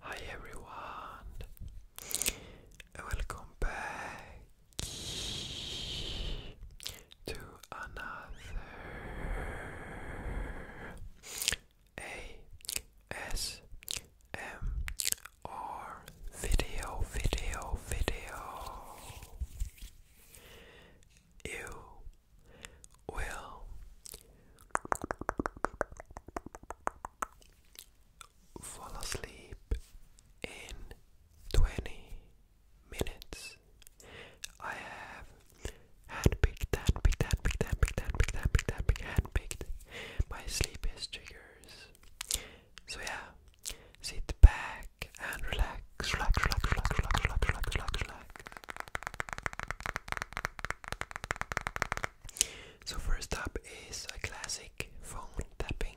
Hi everyone, welcome back to another ASMR are video, video, video. You will fall asleep in 20 minutes. I have handpicked that, picked that, picked that, handpicked my sleep is triggers. So yeah, Sit back and relax, So first up is a classic phone tapping.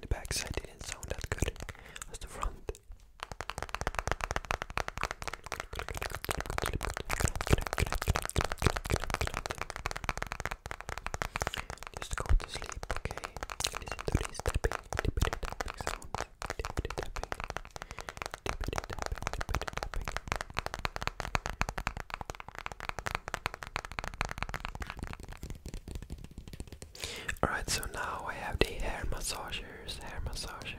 The backside didn't sound that good as the front. Just go to sleep, okay? Listen to this tapping, tapping, Tippity tapping. Tippity tapping. Tippity tapping. Alright, so now I have the hair massagers, hair massagers.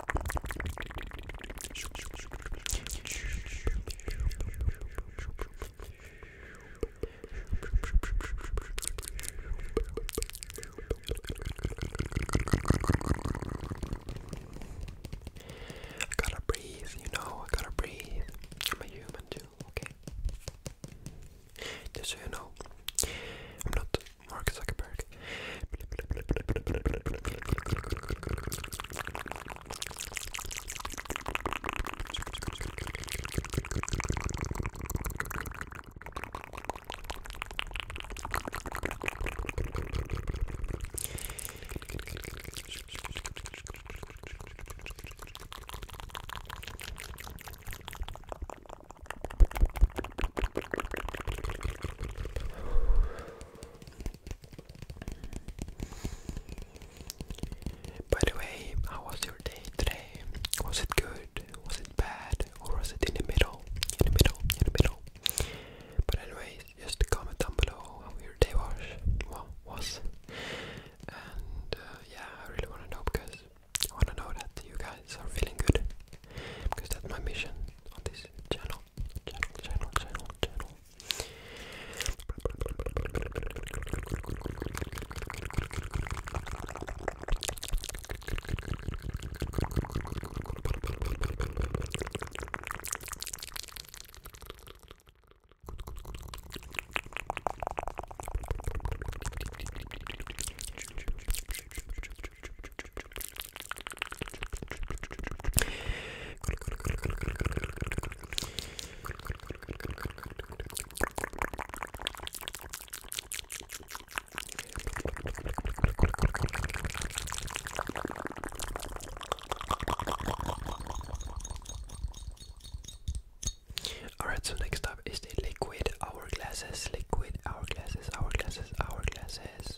I gotta breathe, you know, I gotta breathe. I'm a human too, okay? Just so you know, I'm not Mark Zuckerberg. By the way, how was your day today? Was it good? Was it bad? Or was it in the middle? In the middle, in the middle. But anyways, just comment down below how your day was. Well, was. And uh, yeah, I really want to know because I want to know that you guys are feeling good because that's my mission on this channel. Alright, so next is the liquid hourglasses, liquid hourglasses, hourglasses, hourglasses.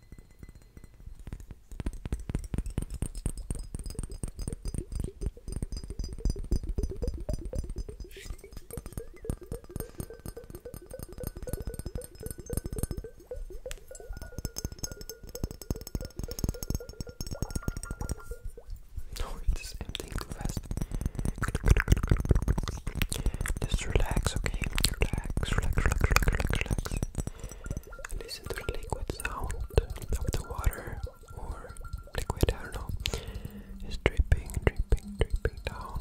No, it's emptying too fast. Just relax, okay? Relax, relax, relax, relax, relax listen to the liquid sound of the water or liquid, I don't know, it's dripping, dripping, dripping down.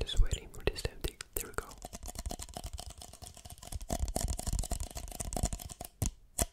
Just waiting for this to empty. There we go.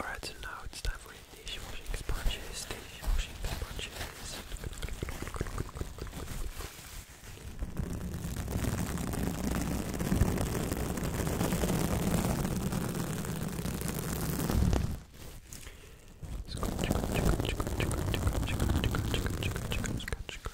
Alright, so now it's time for the dishwashing sponges, dishwashing sponges. Scratch, scratch, scratch, scratch, scratch, scratch, scratch, scratch, scratch, scratch,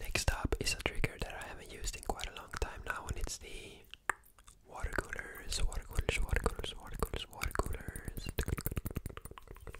Next up is a trigger that I haven't used in quite a long time now, and it's the water coolers, water coolers, water coolers, water coolers, water coolers.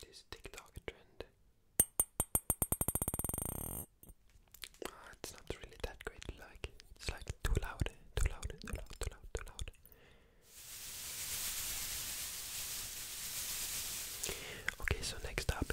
This TikTok trend. Uh, it's not really that great. Like it's like too loud, too loud, too loud, too loud, too loud. Okay, so next up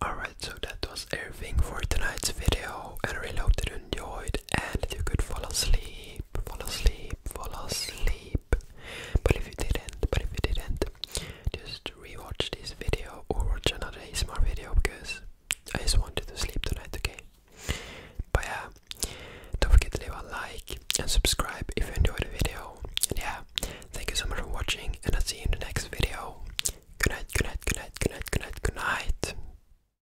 Alright, so that was everything for tonight's video and I really hope that you enjoyed it and you could fall asleep, fall asleep, fall asleep. But if you didn't, but if you didn't, just rewatch this video or watch another ASMR video because I just wanted to sleep tonight, okay? But yeah, don't forget to leave a like and subscribe if you enjoyed the video. And yeah, thank you so much for watching and I'll see you in the next video. Good night, good night, good night, good night, good night, good night.